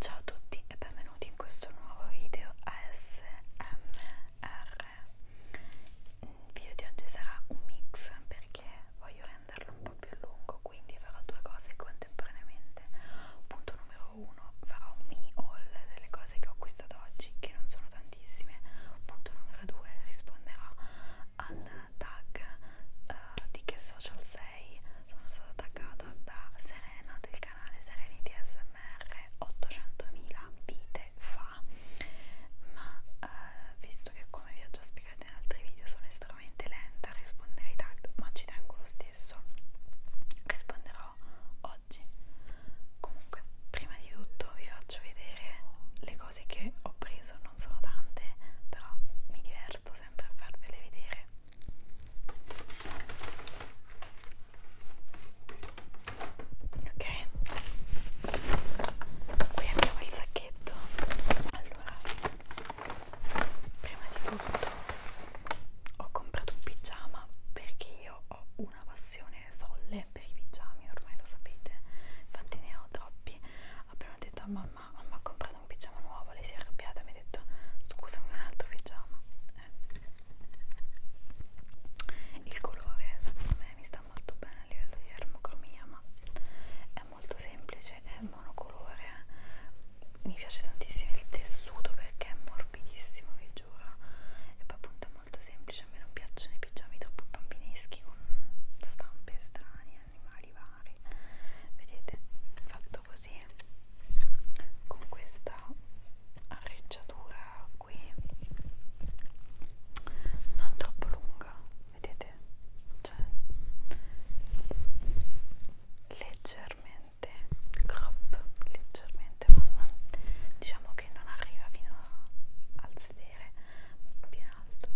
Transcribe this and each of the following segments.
Ciao a tutti e benvenuti in questo nuovo video ASMR. Il video di oggi sarà un mix perché voglio renderlo un po' più lungo, quindi farò due cose contemporaneamente. Punto numero uno, farò un mini haul delle cose che ho acquistato oggi, che non sono tantissime. Punto numero due, risponderò al tag uh, di che social sei sono stata taggata da Serena del canale Serenity SMR 800.000 vite fa ma uh, visto che come vi ho già spiegato in altri video sono estremamente lenta a rispondere ai tag ma ci tengo lo stesso risponderò oggi comunque prima di tutto vi faccio vedere le cose che ho preso non sono tante però mi diverto diverto sempre a farvele vedere ok qui abbiamo il sacchetto allora prima di tutto ho comprato un pigiama perché io ho una passione folle per i pigiami ormai lo sapete infatti ne ho troppi abbiamo detto a mamma mamma, mamma ha comprato un pigiama nuovo, lei si è arrabbiata e mi ha detto scusami un altro pigiama. Eh. Il colore secondo me mi sta molto bene a livello di ermocromia, ma è molto semplice, è monocolore. Eh. Mi piace tantissimo il tessuto perché è morbidissimo, vi giuro. E poi appunto è molto semplice, a me non piacciono i pigiami troppo bambineschi con stampe strane animali vari vedete fatto così con questa arreggiatura qui non troppo lunga vedete cioè leggermente crop leggermente ma non, diciamo che non arriva fino al sedere più in alto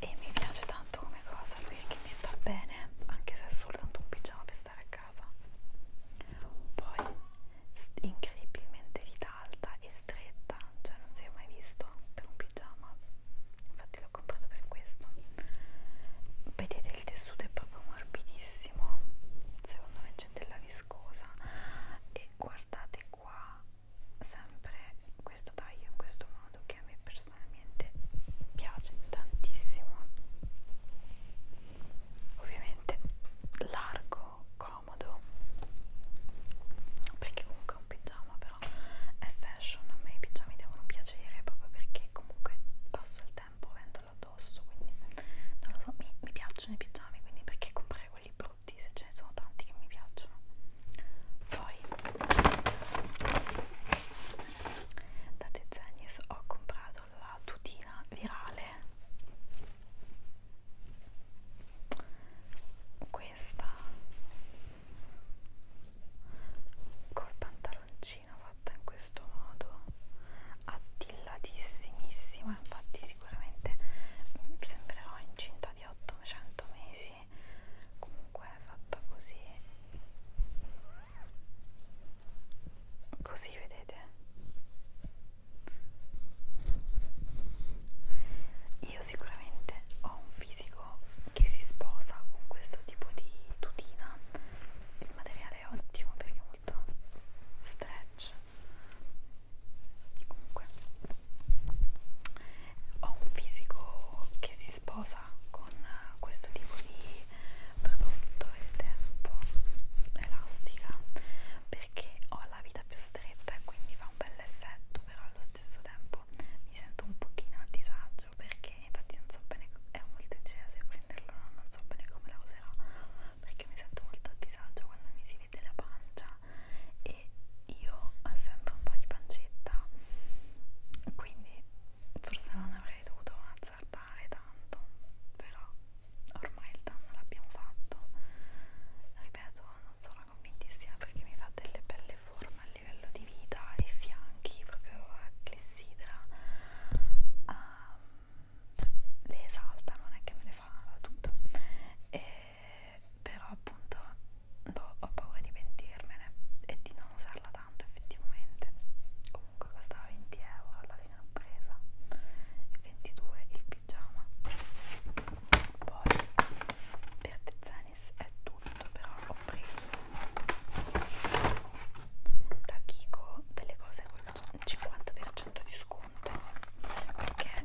e mi piace tanto come cosa perché mi sta bene anche se è soltanto un pigiama per stare a casa poi incredibilmente vita alta e stretta cioè non si è mai visto per un pigiama infatti l'ho comprato per questo vedete il tessuto è proprio morbidissimo secondo me c'è della viscosa e guardate qua sempre questo taglio in questo modo che a me personalmente piace tantissimo ovviamente largo comodo perché comunque è un pigiama però è fashion a me i pigiami devono piacere proprio perché comunque passo il tempo avendolo addosso quindi non lo so mi, mi piacciono i pigiami quindi perché comprare quelli brutti se ce ne sono tanti che mi piacciono poi da Dezennies ho comprato la tutina virale questa col pantaloncino fatta in questo modo attillatissimissima infatti sicuramente mm, sembrerò incinta di 800 mesi perché comunque è fatta così così vedete io sicuramente ho un fisico che si sposa con questo tipo di tutina il materiale è ottimo perché è molto stretch comunque ho un fisico che si sposa con questo tipo di prodotto ed è un po' elastica perché ho la vita più stretta e quindi fa un bel effetto però allo stesso tempo mi sento un pochino a disagio perché infatti non so bene è molto leggera se prenderlo non so bene come la userò perché mi sento molto a disagio quando mi si vede la pancia e io ho sempre un po' di pancetta quindi forse non avrei dovuto azzardare tanto però ormai il danno l'abbiamo fatto ripeto non sono convintissima perché mi fa delle belle forme a livello di vita e fianchi proprio a clessidra um, ehm, le esalta non è che me le fa tutta e però appunto boh, ho paura di pentirmene e di non usarla tanto effettivamente comunque costava 20 euro alla fine l'ho presa e 22 il pigiama poi per Tezanis è tutto però ho preso da Kiko delle cose con il 50% di sconto perché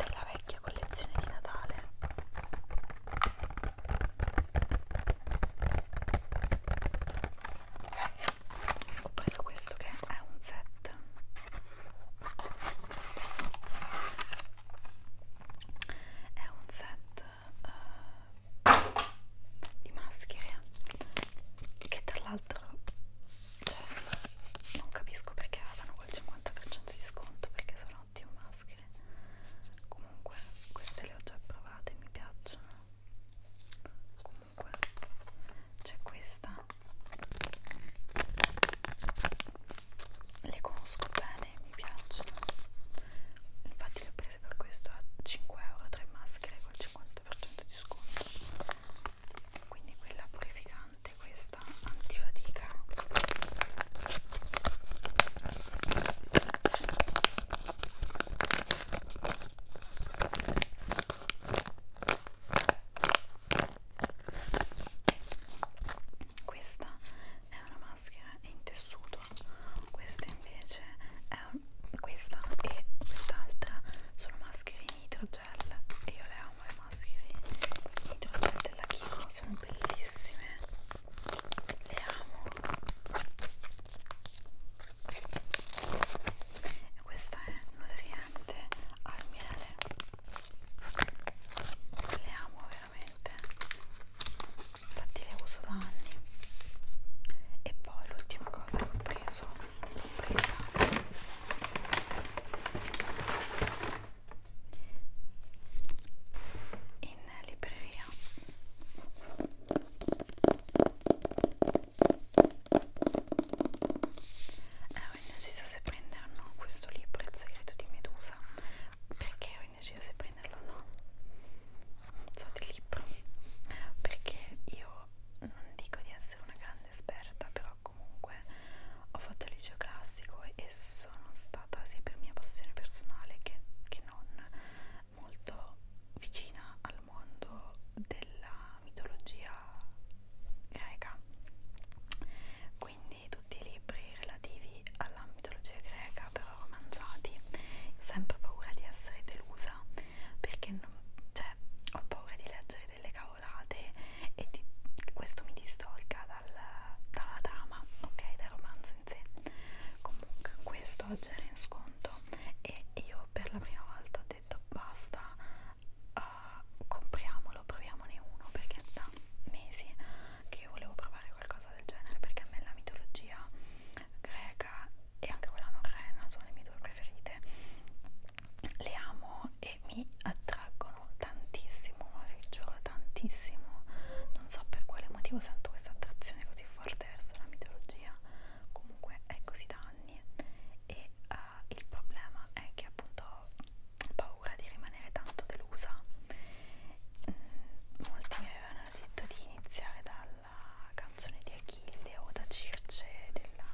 della vecchia collezione di Natale ho preso questo che è un set è un set uh, di maschere che tra l'altro cioè, non capisco perché avevano quel 50% di sconto perché sono ottime maschere maschere comunque queste le ho già provate mi piacciono comunque c'è questa le conosco bene mi piacciono infatti le ho prese per questo a 5 euro tre maschere col 50% di sconto quindi quella purificante questa antifatica questa è una maschera in tessuto, questa invece è un, questa e quest'altra sono maschere in idrogel e io le amo le maschere in idrogel della Kiko, sono bellissime le amo e questa è nutriente al miele le amo veramente infatti le uso da anni e poi l'ultima cosa che ho preso l'ho presa in libreria ero eh, indecisa se prendere o no questo libro il segreto di Medusa perché ero indecisa se prenderlo o no so di libro perché io non dico di essere una grande esperta però comunque ho fatto il liceo classico e sono stata sia per mia passione personale che, che non molto vicina al mondo della mitologia greca quindi tutti i libri relativi alla mitologia greca però romanzati sempre paura di essere delusa perché non, cioè, ho paura di leggere delle cavolate e di, questo mi distolga dal, dalla trama, ok, dal romanzo in sé. Comunque questo oggi era in sconto e io per la prima volta ho detto basta, uh, compriamolo, proviamone uno perché da mesi che io volevo provare qualcosa del genere perché a me la mitologia greca e anche quella norrena sono le mie due preferite le amo e mi attraggono tantissimo, ma vi giuro tantissimo, non so per quale motivo sento questa attrazione così forte verso la mitologia, comunque è così da anni e uh, il problema è che appunto ho paura di rimanere tanto delusa. Mm, molti mi avevano detto di iniziare dalla canzone di Achille o da Circe della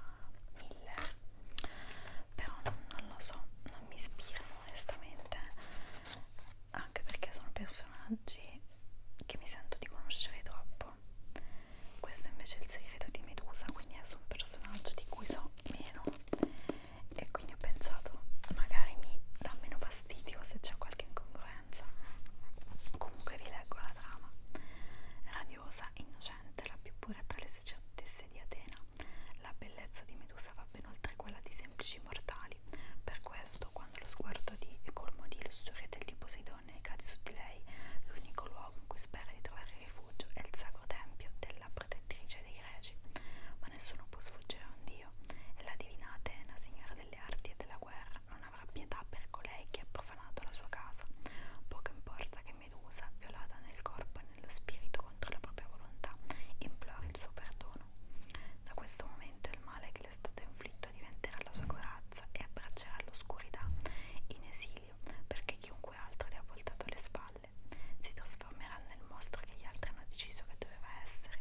Miller, però non, non lo so, non mi ispirano onestamente anche perché sono personaggi che mi sento di conoscere troppo questo è invece è il segreto di Medusa quindi è su un personaggio di cui so meno e quindi ho pensato magari mi dà meno fastidio se c'è qualche incongruenza comunque vi leggo la trama radiosa, innocente, la più pura tra le sacerdote di Atena la bellezza di Medusa va ben oltre quella di semplici mortali, per questo quando lo sguardo di e colmo di lussuria del di Poseidone cade su di lei, l'unico luogo in cui spera di trovare rifugio è il sacro tempio della protettrice dei greci. Ma nessuno può sfuggire a un dio, e la divina Atena, signora delle arti e della guerra, non avrà pietà per colei che ha profanato la sua casa. Poco importa che Medusa, violata nel corpo e nello spirito contro la propria volontà, implori il suo perdono perdono. Da questo momento il male che le è stato inflitto diventerà la sua corazza e abbraccerà l'oscurità in esilio, perché chiunque altro le ha voltato le spalle si trasformerà nel mostro che gli altri hanno deciso che doveva essere.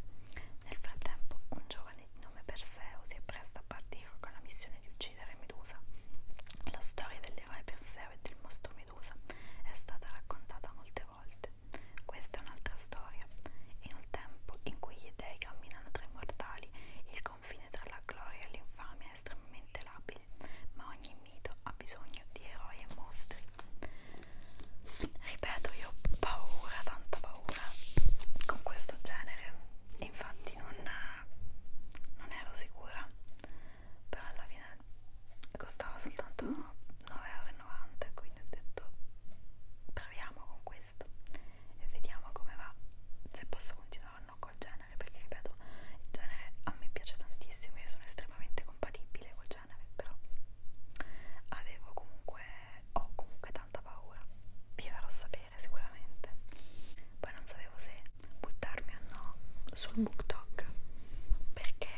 Nel frattempo, un giovane di nome Perseo si appresta a partire con la missione di uccidere Medusa. La storia dell'eroe Perseo e del mostro Medusa è stata raccontata molte volte. Questa è un'altra storia. E nel tempo in cui gli dei camminano tra i mortali, il confine tra la gloria e l'infamia è estremamente labile, ma ogni mito ha bisogno di eroi e mostri. Ripeto, io ho paura, tanta paura con questo genere. Infatti non, non ero sicura, però alla fine costava soltanto 9,90€ quindi ho detto proviamo con questo e vediamo come va se posso continuare o no col genere perché ripeto il genere a me piace tantissimo io sono estremamente compatibile col genere però avevo comunque ho comunque tanta paura vi farò sapere sicuramente poi non sapevo se buttarmi o no sul book talk perché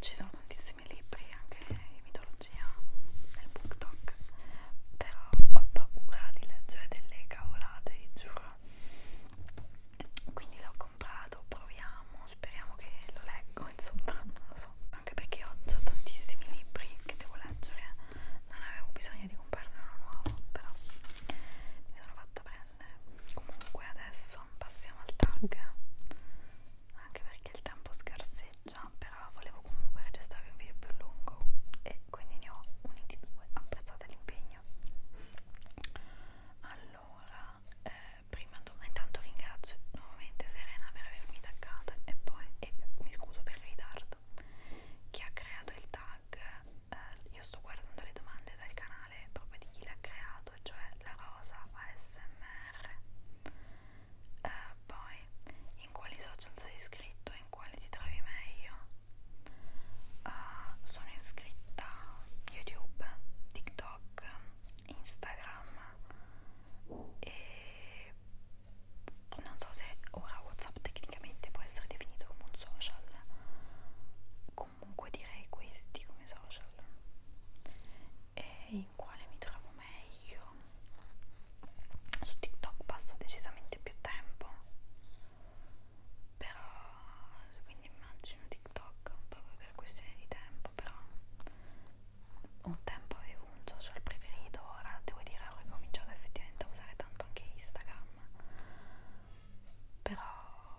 ci sono tantissimi libri anche di mitologia nel booktok però ho paura di leggere delle cavolate giuro quindi l'ho comprato proviamo speriamo che lo leggo insomma non lo so anche perché ho già tantissimi libri che devo leggere non avevo bisogno di comprarne uno nuovo però mi sono fatta prendere penne comunque adesso passiamo al tag anche perché il tempo scarseggia però volevo comunque registrare un video più lungo e quindi ne ho uniti due apprezzate l'impegno allora eh, prima intanto ringrazio nuovamente Serena per avermi taggata e poi e mi scuso per il ritardo chi ha creato il tag eh, io sto guardando le domande dal canale originale proprio di chi l'ha creato, cioè la rosa ASMR. Eh, poi, in quali social sei iscritto, in quali ti trovi meglio? Uh, sono iscritta YouTube, TikTok, Instagram e non so se ora WhatsApp tecnicamente può essere definito come un social comunque direi questi come social e in quale mi trovo meglio su TikTok passo decisamente più tempo però quindi immagino TikTok proprio per questione di tempo però un tempo avevo un social preferito ora devo dire ho ricominciato effettivamente a usare tanto anche Instagram però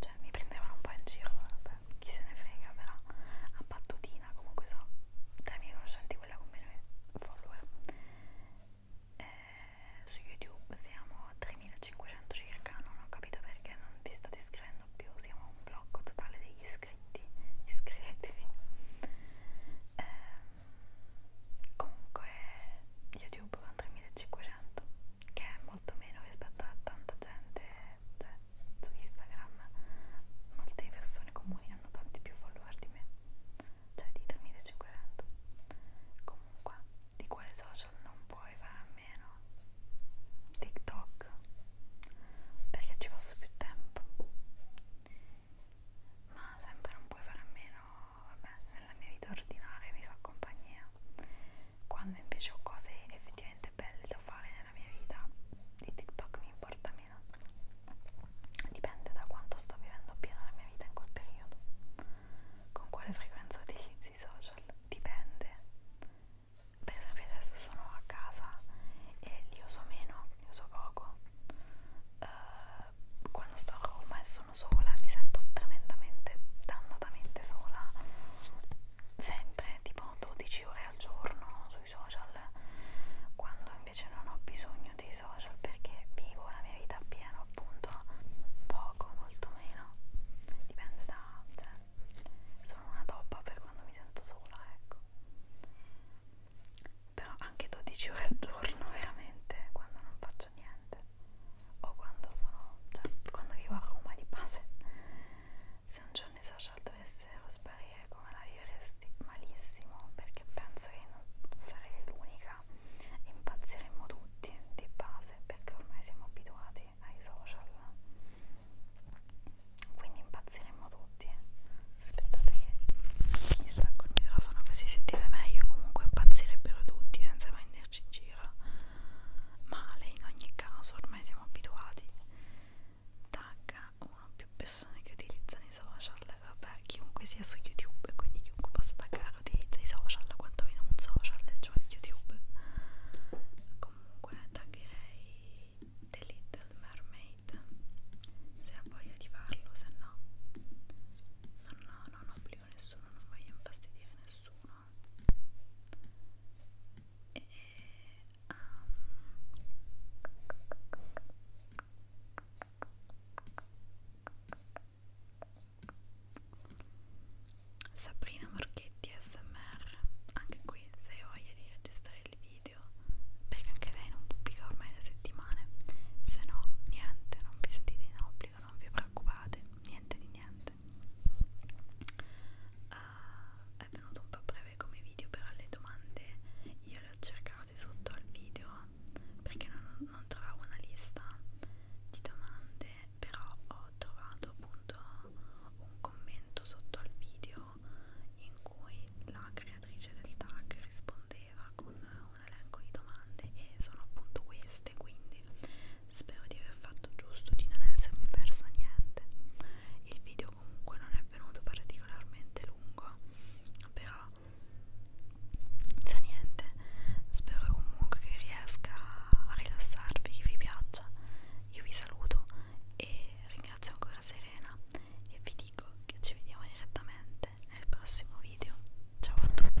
cioè mi prendevano un po' in giro, vabbè, chi se ne frega, però a pattutina comunque sono tra i miei conoscenti quella con meno follower. Eh, su YouTube siamo a 3500 circa, non ho capito perché non vi state iscrivendo più, siamo a un blocco totale degli iscritti, iscrivetevi. Eh, comunque YouTube con 3500 che è molto meno rispetto a tanta gente cioè, su Instagram molte persone comuni hanno tanti più follower di me cioè di 3500 comunque di quale social non puoi fare a meno TikTok perché ci passo più tempo ma sempre non puoi fare a meno vabbè nella mia vita ordinaria mi fa compagnia quando invece ho cose effettivamente effettivamente belle da fare nella mia vita di TikTok mi importa meno dipende da quanto sto vivendo pieno la mia vita in quel periodo con quale frequenza utilizzi i social dipende per esempio adesso sono a casa e li uso meno li uso poco uh, quando sto a Roma e sono sola mi sento tremendamente dannatamente sola sempre tipo 12 ore al giorno sui social quando invece non ho bisogno dei social perché vivo la mia vita piena appunto poco molto meno dipende da cioè sono una toppa per quando mi sento sola ecco però anche 12 ore al giorno veramente quando non faccio niente o quando sono cioè quando vivo a Roma di base se un giorno i social dovessero sparire come la vivresti malissimo perché penso che non sarei l'unica impazziremmo tutti di base perché ormai siamo abituati ai social quindi impazziremmo tutti aspettate che mi stacco il microfono così sentite meglio comunque impazzirebbero tutti senza prenderci in giro male in ogni caso ormai siamo abituati tagga uno o più persone che utilizzano i social vabbè chiunque sia su youtube quindi chiunque possa taggare utilizza i social quantomeno un social cioè youtube comunque taggerei The Little Mermaid se ha voglia di farlo se no non, no, non obbligo nessuno non voglio infastidire nessuno e, um, Sabrina Marchetti ASMR anche qui se hai voglia di registrare il video perché anche lei non pubblica ormai da settimane se no niente non vi sentite in obbligo non vi preoccupate niente di niente niente uh, ah, è venuto un po' breve come video però le domande io le ho cercate sotto al video perché non, non trovavo una lista di domande però ho trovato appunto un commento sotto al video in cui la creatrice del tag rispondeva con un elenco di domande e sono appunto queste quindi Spero di aver fatto giusto, di non essermi persa niente. Il video comunque non è venuto particolarmente lungo, però fa niente. Spero comunque che riesca a rilassarvi, che vi piaccia. Io vi saluto e ringrazio ancora Serena e vi dico che ci vediamo direttamente nel prossimo video. Ciao a tutti!